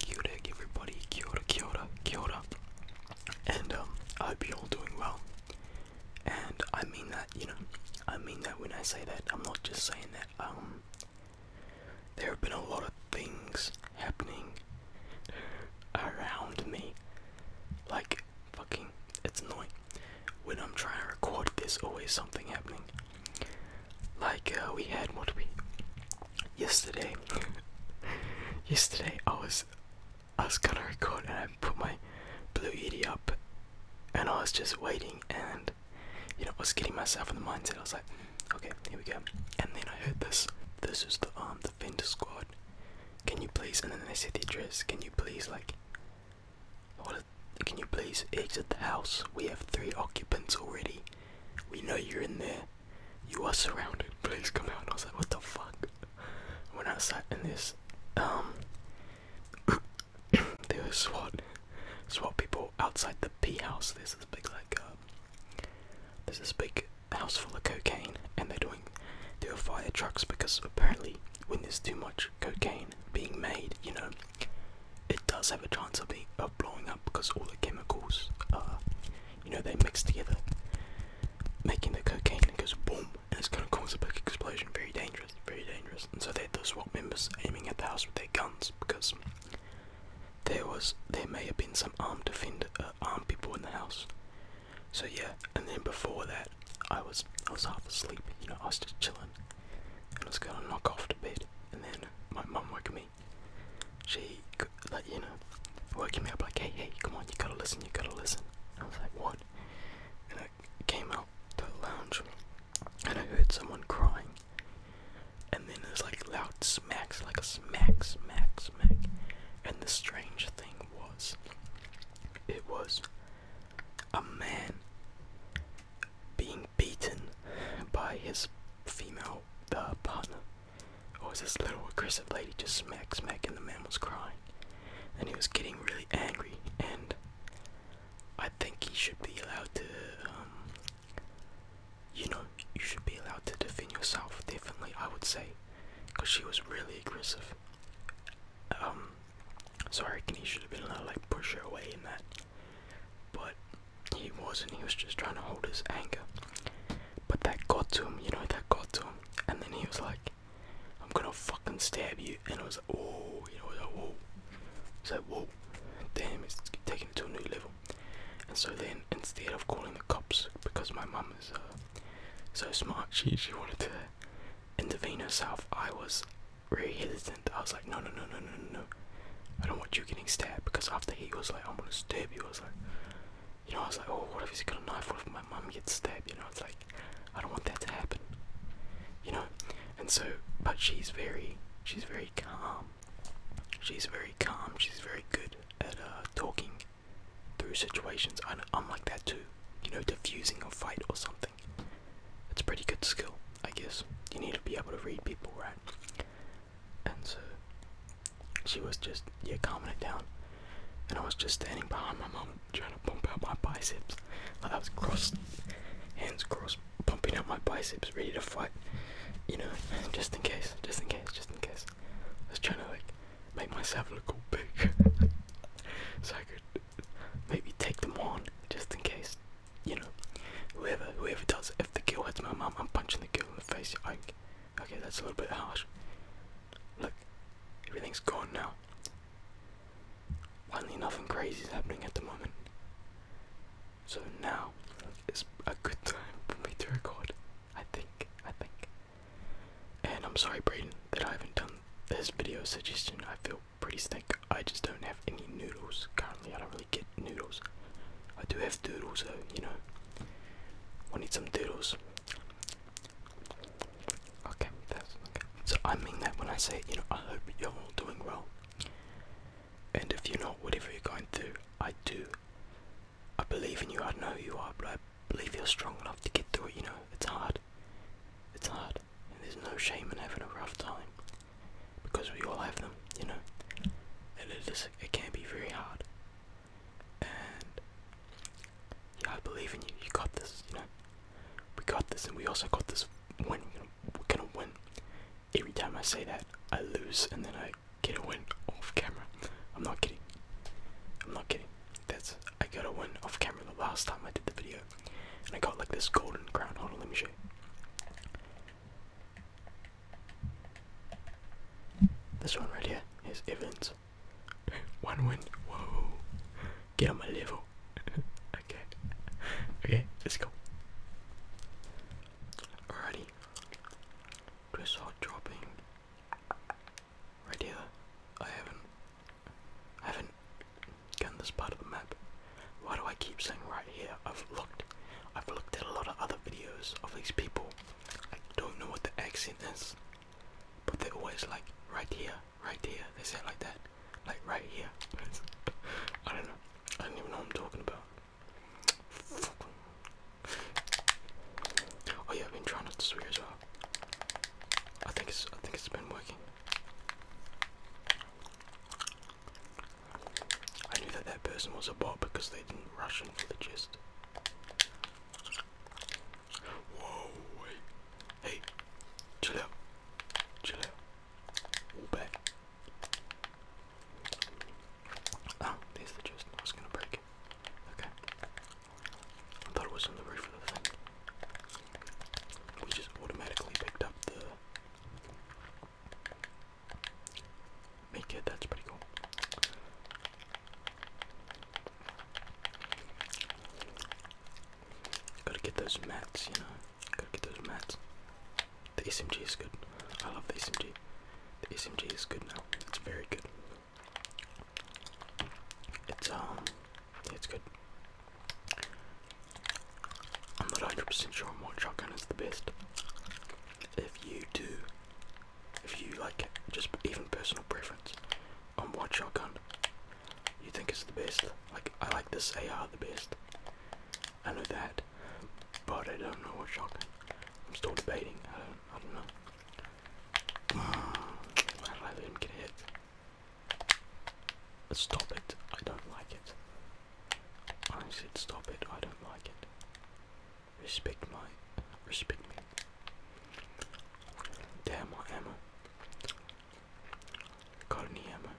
Kia ora everybody, kia ora, kia ora, kia ora. And um, I hope you're all doing well. And I mean that, you know, I mean that when I say that. I'm not just saying that. Um, there have been a lot of things happening around me. Like, fucking, it's annoying. When I'm trying to record, there's always something happening. Like uh, we had what we yesterday. yesterday I was I was gonna record and I put my blue ED up and I was just waiting and you know I was getting myself in the mindset I was like okay here we go and then I heard this this is the um defender squad can you please and then they said the address can you please like what is can you please exit the house? We have three occupants already. We know you're in there. You are surrounded. Please come out. I was like, what the fuck? When I sat in um, there was SWAT, SWAT people outside the P house. There's this big like, uh, there's this big house full of cocaine, and they're doing, there are fire trucks because apparently when there's too much cocaine being made, you know, it does have a chance of being of blowing up because all the chemicals are, uh, you know, they mix together, making the cocaine and boom, and it's going to cause a big explosion. Very dangerous, very dangerous. And so they had the SWAT members aiming at the house with their guns because there was there may have been some armed defender, uh, armed people in the house. So yeah, and then before that, I was I was half asleep. You know, I was just chilling and I was gonna knock off to bed, and then my mum woke me. She, like, you know, woke me up like, hey, hey, come on, you gotta listen, you gotta listen. I was like, what? And I came out to the lounge, and I heard someone crying. And then there's like loud smacks, like a smack, smack, smack. And the strange thing was, it was a man being beaten by his female uh, partner. Or was this little aggressive lady just smack smack and the man was crying. And he was getting really angry and I think he should be allowed to um, you know, you should be allowed to defend yourself definitely I would say. Cause she was really aggressive. Um so I reckon he should have been allowed like push her away in that. But he wasn't, he was just trying to hold his anger. But that got to him, you know, that got to him. And then he was like, I'm gonna fucking stab you. And I was like, oh, you know, I was like, whoa. I was like, whoa, damn, it's taken to a new level. And so then, instead of calling the cops, because my mum is uh, so smart, she, she wanted to intervene herself. I was really hesitant. I was like no, no, no, no, no, no, I don't want you getting stabbed because after he was like, I'm gonna stab you. I was like, you know, I was like, oh, what if he's got a knife? What if my mum gets stabbed? You know, it's like, I don't want that to happen. You know, and so, but she's very, she's very calm. She's very calm. She's very good at uh, talking through situations. I am like that too. You know, defusing a fight or something. It's a pretty good skill, I guess. You need to be able to read people, right? and so she was just yeah calming it down, and I was just standing behind my mum trying to pump out my biceps. Like I was cross, hands crossed, pumping out my biceps, ready to fight. You know, just in case, just in case, just in case. I was trying to like make myself look all big, so I could maybe take them on, just in case you know, whoever whoever does. If the girl hits my mom, I'm punching the girl in the face. I, okay, that's a little bit harsh. Look, everything's gone now. Finally, nothing crazy is happening at the moment. So now it's a good time for me to record. I think. I think. And I'm sorry, Braden, that I haven't done this video suggestion. I feel pretty sick. I just don't have any noodles currently. I don't really get noodles. I do have doodles though, you know. I need some doodles. Okay, So I mean that when I say, you know, I hope you're all doing well. And if you're not, whatever you're going through, I do. I believe in you, I know you are, but I believe you're strong enough to get through it, you know. It's hard. It's hard. And there's no shame in having a rough time because we all have them, you know, it can be very hard. And yeah, I believe in you. You got this, you know. We got this, and we also got this. Win, we're gonna win. Every time I say that, I lose, and then I get a win off camera. I'm not kidding. I'm not kidding. That's I got a win off camera the last time I did the video, and I got like this golden crown. Hold on, let me show you. This one right here is Evans. one win. Whoa. Get on my level. okay. Okay, let's go. Alrighty. Just hot dropping. Right here. I haven't I haven't gotten this part of the map. Why do I keep saying right here? I've looked, I've looked at a lot of other videos of these people. I don't know what the accent is, but they're always like right here, right here. They say it like that, like right here. I don't know. I don't even know what I'm talking about. Oh yeah, I've been trying not to swear as well. I think it's I think it's been working. I knew that that person was a bot because they didn't rush into the gist. Whoa, wait. Hey, chill out. Chill out. back. Oh, there's the chest. I was gonna break it. Okay. I thought it was on the roof of the thing. We just automatically picked up the Make it, that's pretty cool. Gotta get those mats, you know. Gotta get those mats. The SMG is good. I love the SMG. The SMG is good now. It's very good. It's um it's good. I'm not 100% sure on what shotgun is the best if you do, if you like, just even personal preference on what shotgun you think is the best. Like, I like this AR the best. I know that, but I don't know what shotgun. I'm still debating. I don't, know. I don't know. I let get hit? stop it. I don't like it. I said stop it. I don't like it. Respect my respect me. Damn my ammo. Got any ammo?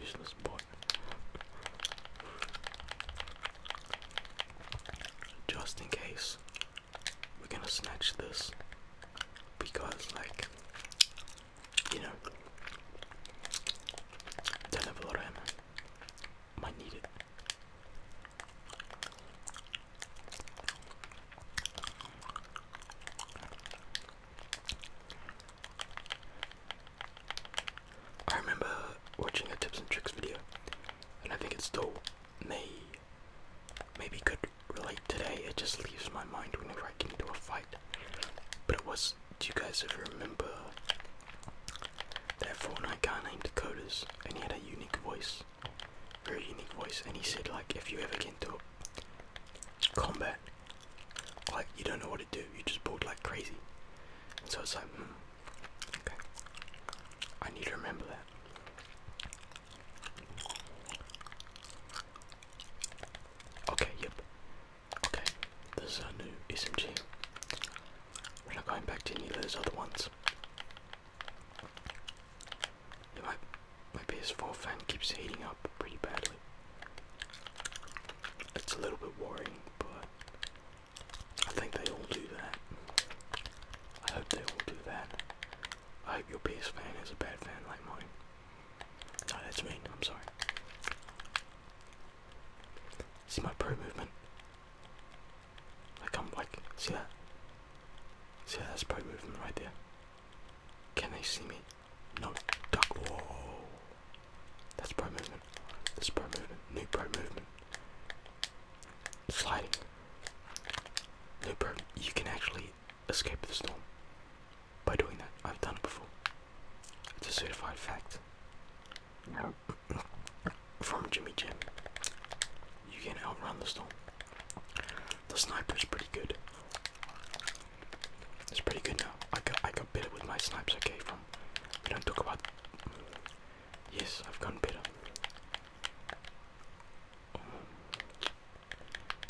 Useless boy. Just in case, we're gonna snatch this because, like, you know, don't have a lot of ammo. I need it. I remember watching a tips and tricks video, and I think it still may maybe could relate today. It just leaves my mind whenever I get into a fight. But it was do you guys ever remember that Fortnite guy named Coders and he had a unique voice? Very unique voice and he said like if you ever get into combat, like you don't know what to do, you just bored like crazy. so it's like hmm, okay. I need to remember that. Okay, yep. Okay, this is a new SMG. We're not going back to any of those other ones. Yeah, my, PS4 fan keeps heating up pretty badly. It's a little bit worrying, but I think they all do that. I hope they all do that. I hope your PS fan is a bad fan like mine. No, that's me. I'm sorry. See my pro movement? Like I'm like, see that? See That's pro movement right there. Can they see me? No. Duck. Whoa. That's pro movement. That's pro movement. New pro movement. Sliding. New pro. You can actually escape the storm by doing that. I've done it before. It's a certified fact from Jimmy Jim. You can outrun the storm. The sniper is pretty good. It's pretty good now. I got I got better with my snipes. Okay, from we don't talk about. Yes, I've gotten better.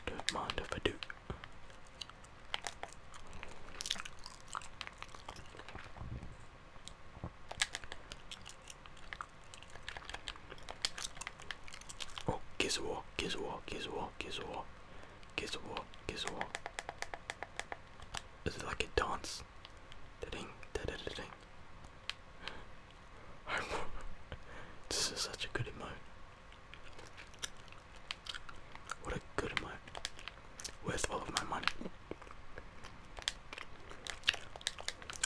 don't mind if I do. Oh, Gizwar, Gizwar, Gizwar, Gizwar, Gizwar, kiss, Is it like a dance? Da ding, da da da ding. this is such a good emote. What a good emote with all of my money.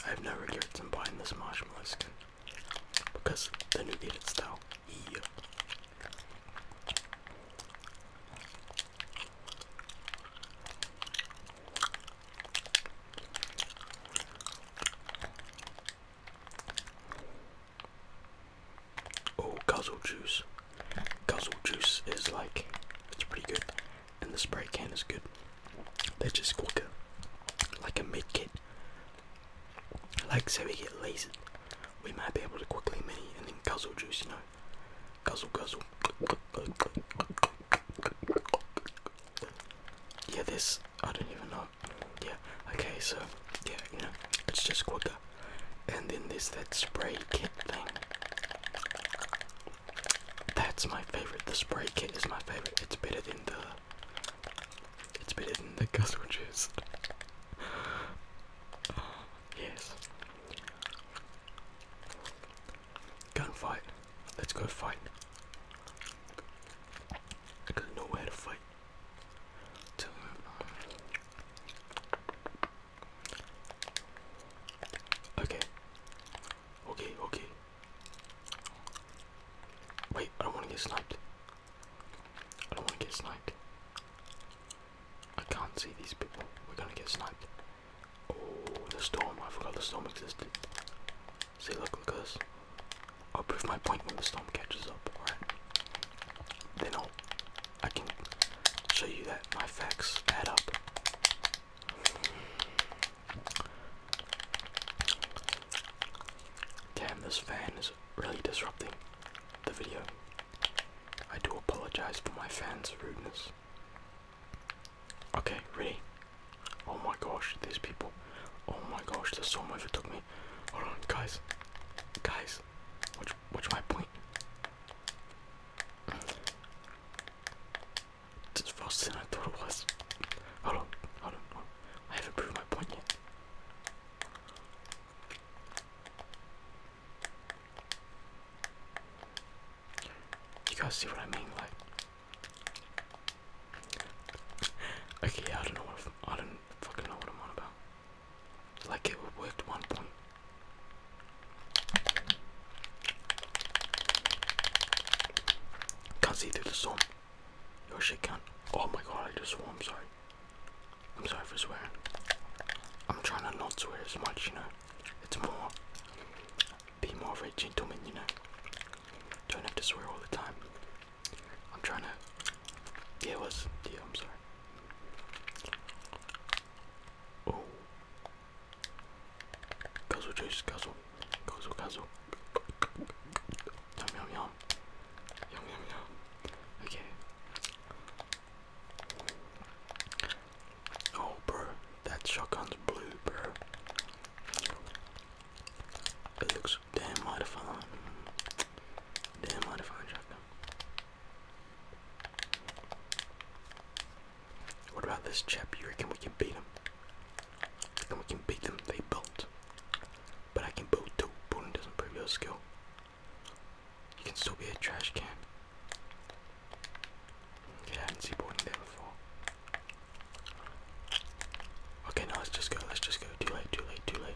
I have never to buy in this marshmallow skin because the new edit style. Yeah. Oh, guzzle juice guzzle juice is like it's pretty good and the spray can is good they're just quicker like a mid kit like say we get lasered we might be able to quickly mini and then guzzle juice you know guzzle guzzle yeah this i don't even know yeah okay so yeah you know it's just quicker and then there's that spray can that's my favorite. The spray kit is my favorite. It's better than the. It's better than the guzzle juice. uh, yes. Gunfight. Let's go fight. I don't know where to fight. To, um, Okay. Okay, okay. Wait, I don't want to get sniped. I don't want to get sniped. I can't see these people. We're gonna get sniped. Oh, the storm. I forgot the storm existed. See, look, at us. I'll prove my point when the storm catches up, alright? Then I'll I can show you that my facts add up. Damn, this fan is really disrupting the video. I do apologize for my fans' rudeness. Okay, ready? Oh my gosh, these people. Oh my gosh, the storm overtook me. Hold on, guys. Guys, watch, watch my point. Just faster than I thought it was. Hold on, hold on, hold on. I haven't proved my point yet. You guys see what I mean? Like, okay, I don't know what I'm, I do not fucking know what I'm on about. Like, it worked one time. Can't see through the storm. Your shit can't. Oh my god, I just swore. I'm sorry. I'm sorry for swearing. I'm trying to not swear as much, you know. It's more. Be more of a gentleman, you know. Don't have to swear all the time. I'm trying to. Yeah, was. Yeah, I'm sorry. Oh. Guzzle juice, guzzle, guzzle, Yum, yum, yum. Yum, yum, yum. Okay. Oh, bro, that shotgun's blue, bro. It looks damn modified. Damn modified shotgun. What about this chap? You reckon we can beat him? And we can beat them, they built. But I can build too. Building doesn't prove your skill. You can still be a trash can. Okay, I didn't see boarding there before. Okay, now let's just go, let's just go. Too late, too late, too late.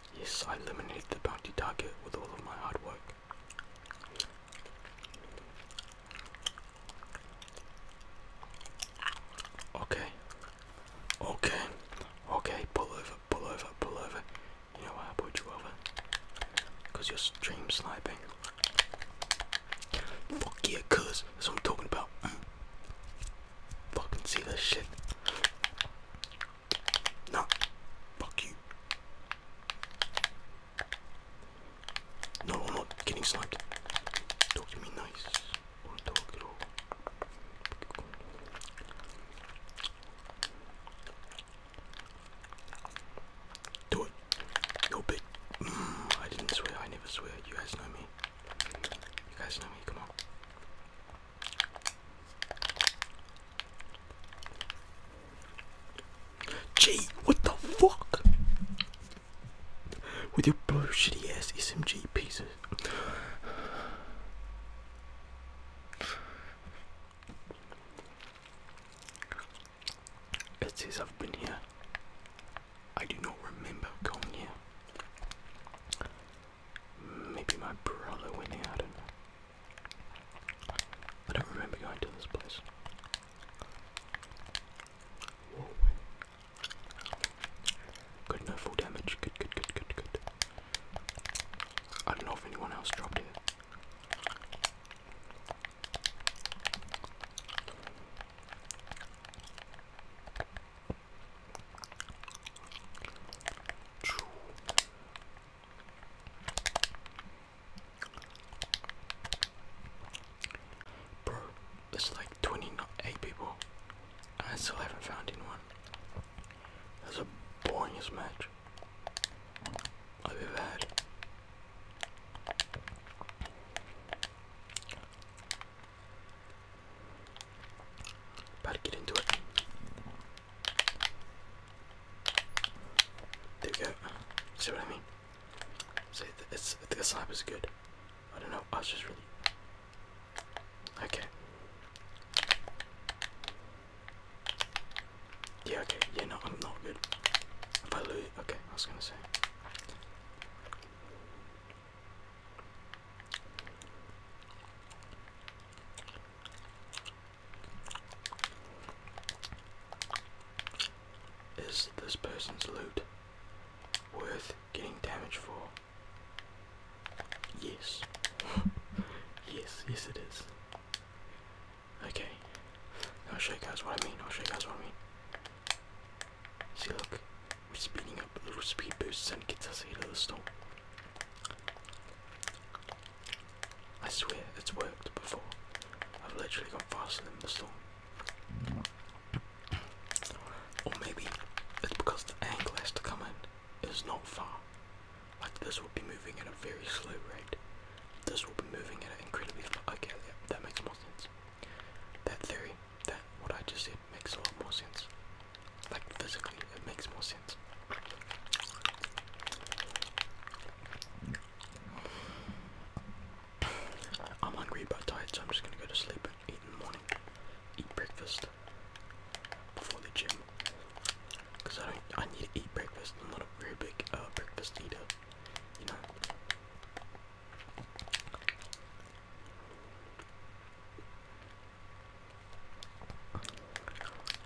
Yes, I eliminated the bounty target with all of my hard work. Okay. Okay. Okay, pull over, pull over, pull over. You know why I pulled you over? Because you're stream sniping. Fuck yeah, cuz. That's what I'm talking about. Mm. Fucking see this shit. No. Fuck you. No, I'm not getting sniped. Talk to me nice. Or talk at all. Do it. No bit. Mm, I didn't swear. I never swear. You guys know me. You guys know me. Come on. Gee, what the fuck? With your blue shitty ass SMG pieces. It says I've been here. I do not remember going here. Maybe my brother went here, I do I don't remember going to this place. Good, no full damage. Good, good, good, good, good. I don't know if anyone else dropped it. Bro, it's like 28 people, I still haven't found anyone. That's the boringest match I've ever had. About get into it. There we go. See what I mean? See, it's, the slap is good. I don't know. I was just really. Okay. Yeah, okay. Yeah, no, I'm not good. If I lose. Okay, I was gonna say. Is this person's loot worth getting damage for? Yes. yes, yes it is. Okay. I'll show you guys what I mean. I'll show you guys what I mean. See look, we're speeding up little speed boosts and gets us ahead of the storm. I swear it's worked before. I've literally got faster than the storm. Or maybe it's because the angle has to come in. It's not far. Like this will be moving at a very slow rate. This will be moving at an incredibly okay, yeah, that makes more sense. That theory, that what I just said makes a lot more sense. Like physically, it makes more sense. I'm hungry but tired, so I'm just gonna go to sleep and eat in the morning. Eat breakfast before the gym, because I don't. I need to eat breakfast. I'm not a very big uh, breakfast eater, you know.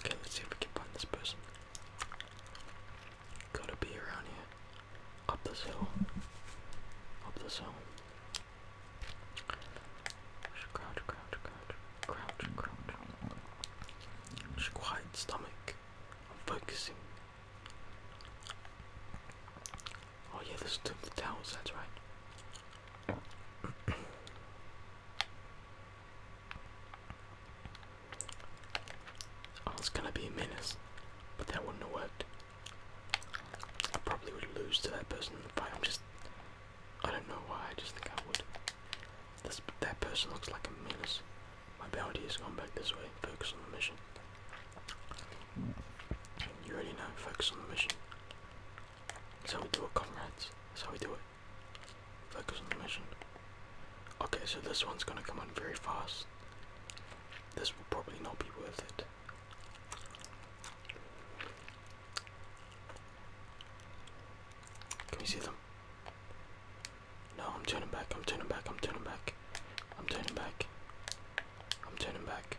Okay, let's see if we can find this person. Gotta be around here. Up this hill. Up this hill. Crouch, crouch, crouch, crouch, crouch. quiet stomach. I'm focusing. Oh yeah, this took the towels, that's right. Oh, I was gonna be a menace, but that wouldn't have worked. I probably would lose to that person in the fight. I'm just. I don't know why, I just think I would. This, that person looks like a menace. My bounty has gone back this way. Focus on the mission. You already know, focus on the mission. So we do it, comrades. So we do it. Focus on the mission. Okay, so this one's gonna come on very fast. This will probably not be worth it. Can you see them? No, I'm turning back, I'm turning back, I'm turning back. I'm turning back. I'm turning back.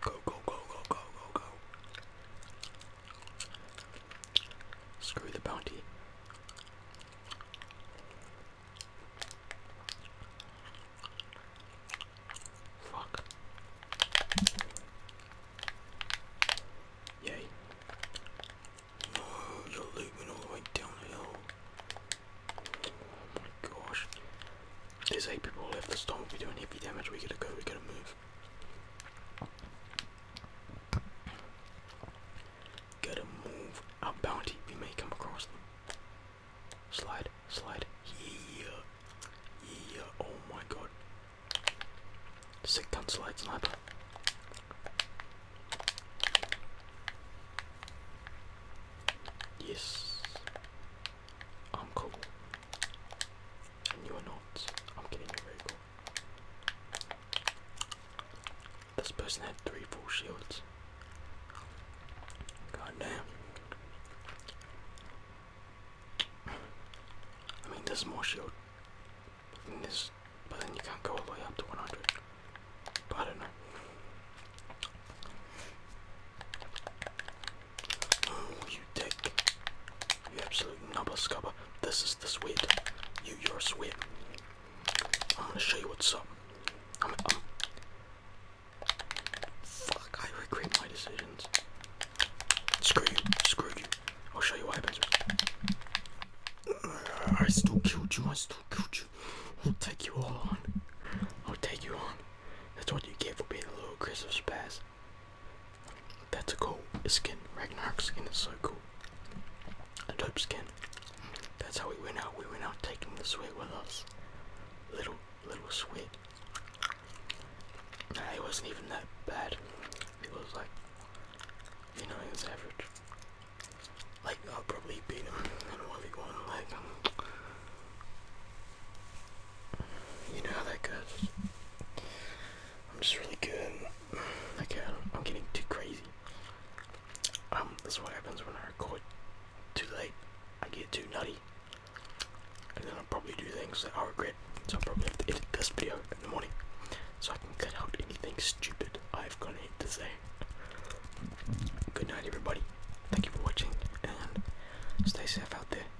Go, go, go, go, go, go, go. Screw the bounty. Fuck. Yay. No, oh, you're leaving all the way down the hill. Oh gosh. There's eight people left. Let's not be doing heavy damage. We gotta go, we gotta move. Gotta move. Our bounty, we may come across them. Slide, slide. Yeah. Yeah. Oh my god. Sick gun slide sniper. Yes. I'm cool. And you are not. I'm getting you very cool. This person had three full shields. God I mean, there's more shield than this, but then you can't go all the way up to 100. But I don't know. Oh, you dick. You absolute nubba scubba. This is the sweet. You, you're a sweat. I'm gonna show you what's up. I'm, I'm... Um, Fuck, I regret my decisions. Screw you, screw you. I'll show you what happens. I still killed you, I still killed you. I'll take you all on. I'll take you on. That's what you get for being a little aggressive spaz. That's a cool skin. Ragnarok skin is so cool. A dope skin. That's how we went out. We went out taking the sweat with us. Little, little sweat. it wasn't even that bad. It was like, you know, it was average. Like, I'll probably beat him in 1v1. Like, um, you know how that goes. I'm just really good. Okay, I'm, getting too crazy. Um, this is what happens when I record too late. I get too nutty, and then I'll probably do things that I regret. So I'll probably have to edit this video in the morning, so I can cut out anything stupid I've got to say. Good night, everybody. Thank you for watching, and stay safe out there.